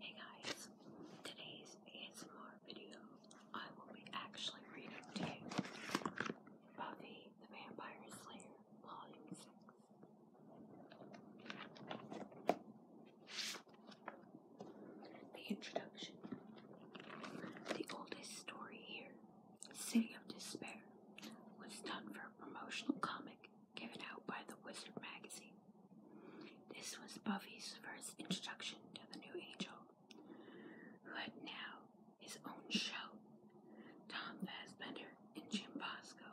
Hey guys, today's ASMR video, I will be actually reading to you Buffy the Vampire Slayer, Volume 6. The introduction. The oldest story here, City of Despair, was done for a promotional comic given out by the Wizard magazine. This was Buffy's first introduction to the new angel, who had now his own show. Tom Fassbender and Jim Bosco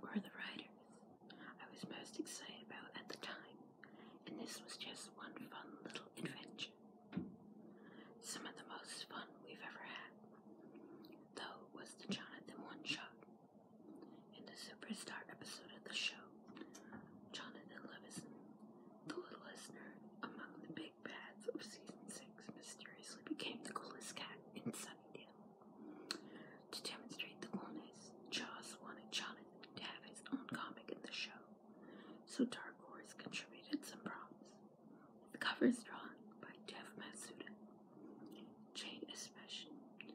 were the writers I was most excited about at the time, and this was just one fun little adventure. Some of the most fun we've ever had, though, was the Jonathan one shot in the Superstar episode of the show, Jonathan Levison, the littlest nerd among the big bads of season 6, mysteriously became the coolest cat in Sunnydale. To demonstrate the coolness, Jaws wanted Jonathan to have his own comic in the show, so Dark Horse contributed some prompts. The cover is drawn by Jeff Matsuda, Jane Especially,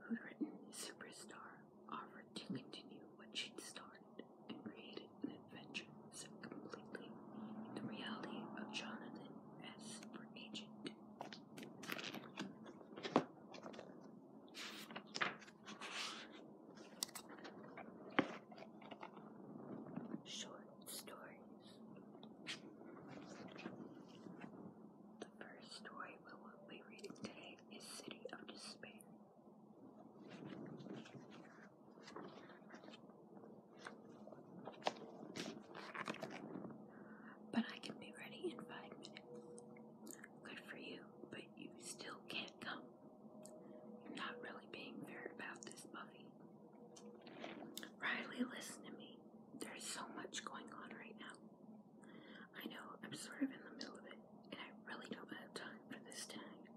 who'd written Superstar, offered to continue what she'd started and created an adventure set completely in the reality of Jonathan as super agent. Short stories. The first story we will be reading today is City of Despair. But I can be ready in five minutes. Good for you, but you still can't come. You're not really being fair about this, Buffy. Riley, listen to me. There's so much going on right now. I know I'm sort of in the middle of it, and I really don't have time for this tonight.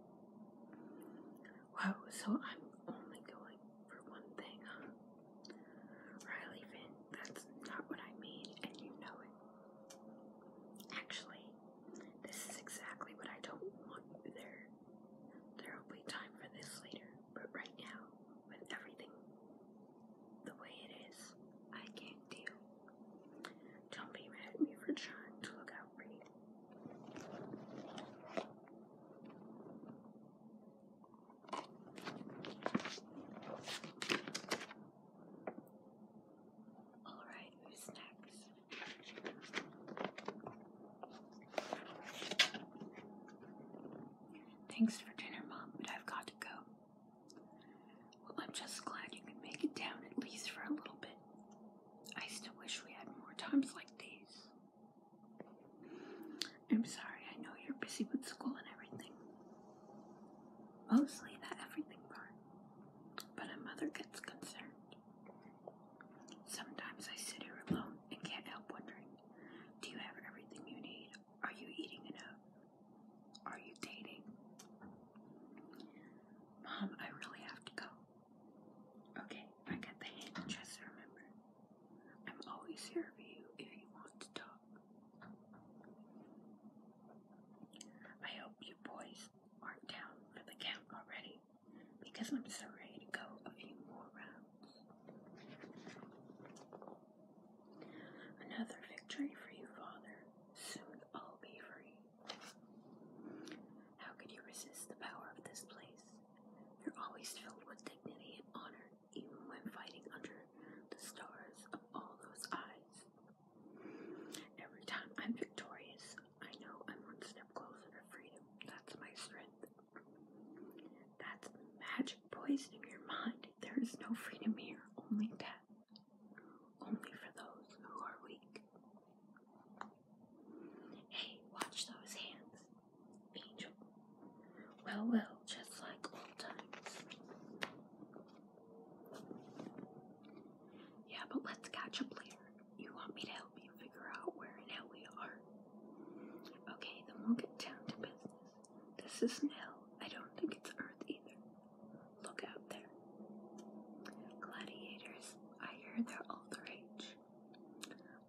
Wow, so I'm only going for one thing, huh? Riley Finn, that's not what I mean, and you know it. Actually, this is exactly what I don't want there. There'll be time for this later. But right now, with everything the way it is, I can't deal. Don't be mad at me for trying to look out for you. All right, who's next? Thanks for dinner, Mom, but I've got to go. Well, I'm just glad you could make it down at least for a little bit. I still wish we had more times like these. I'm sorry, I know you're busy with school and everything. Mostly the everything part. But a mother gets concerned. Sometimes I sit here alone and can't help wondering do you have everything you need? Are you eating enough? Are you dating? Mom, I really have to go. Okay, I got the hint. Just remember, I'm always here for you if you want to talk. I hope you boys aren't down for the count already, because I'm so ready to go a few more rounds. Another victory for you, Father. Soon I'll be free. How could you resist the power of this place? You're always filled with dignity and honor, even when fighting under the stars of all those eyes. Every time I'm victorious, I know I'm one step closer to freedom. That's my strength. That's magic poison poisoning your mind. There is no freedom here, only death. Only for those who are weak. Hey, watch those hands, Angel. Well, well, just like old times. Yeah, but let's catch up later. You want me to help you figure out where and how we are? Okay, then we'll get down to business. This isn't hell. I don't think it's Earth either. Look out there. Gladiators, I hear they're all the rage.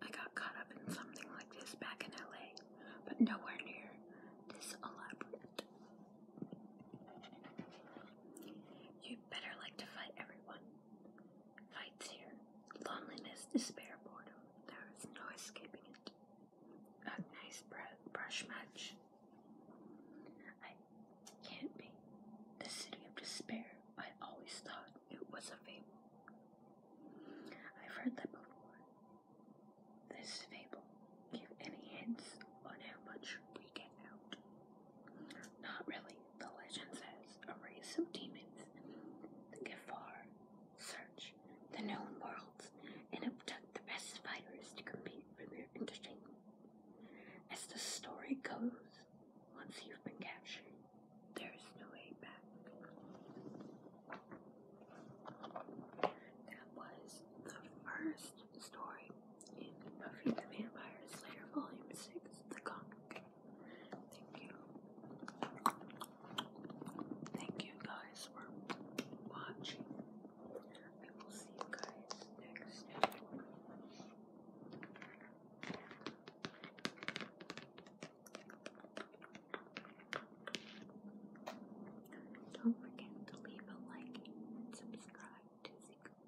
I got caught up in something like this back in LA, but nowhere near this elaborate. you better like to fight everyone fights here. Loneliness, despair, boredom. There is no escaping it. A nice brush match. I can't be. The city of despair. I always thought it was a fable. I've heard that before. This fable. Give any hints on how much we get out? Not really the legend says, a race of demons, the far, search the known worlds and abduct the best fighters to compete for their entertainment. As the story goes, once you've been captured, there is no way back. That was the first story in Buffy the Vampire Slayer Volume 6, The Conqueror. Thank you. Thank you guys for watching. I will see you guys next time. Don't forget to leave a like and subscribe to Secret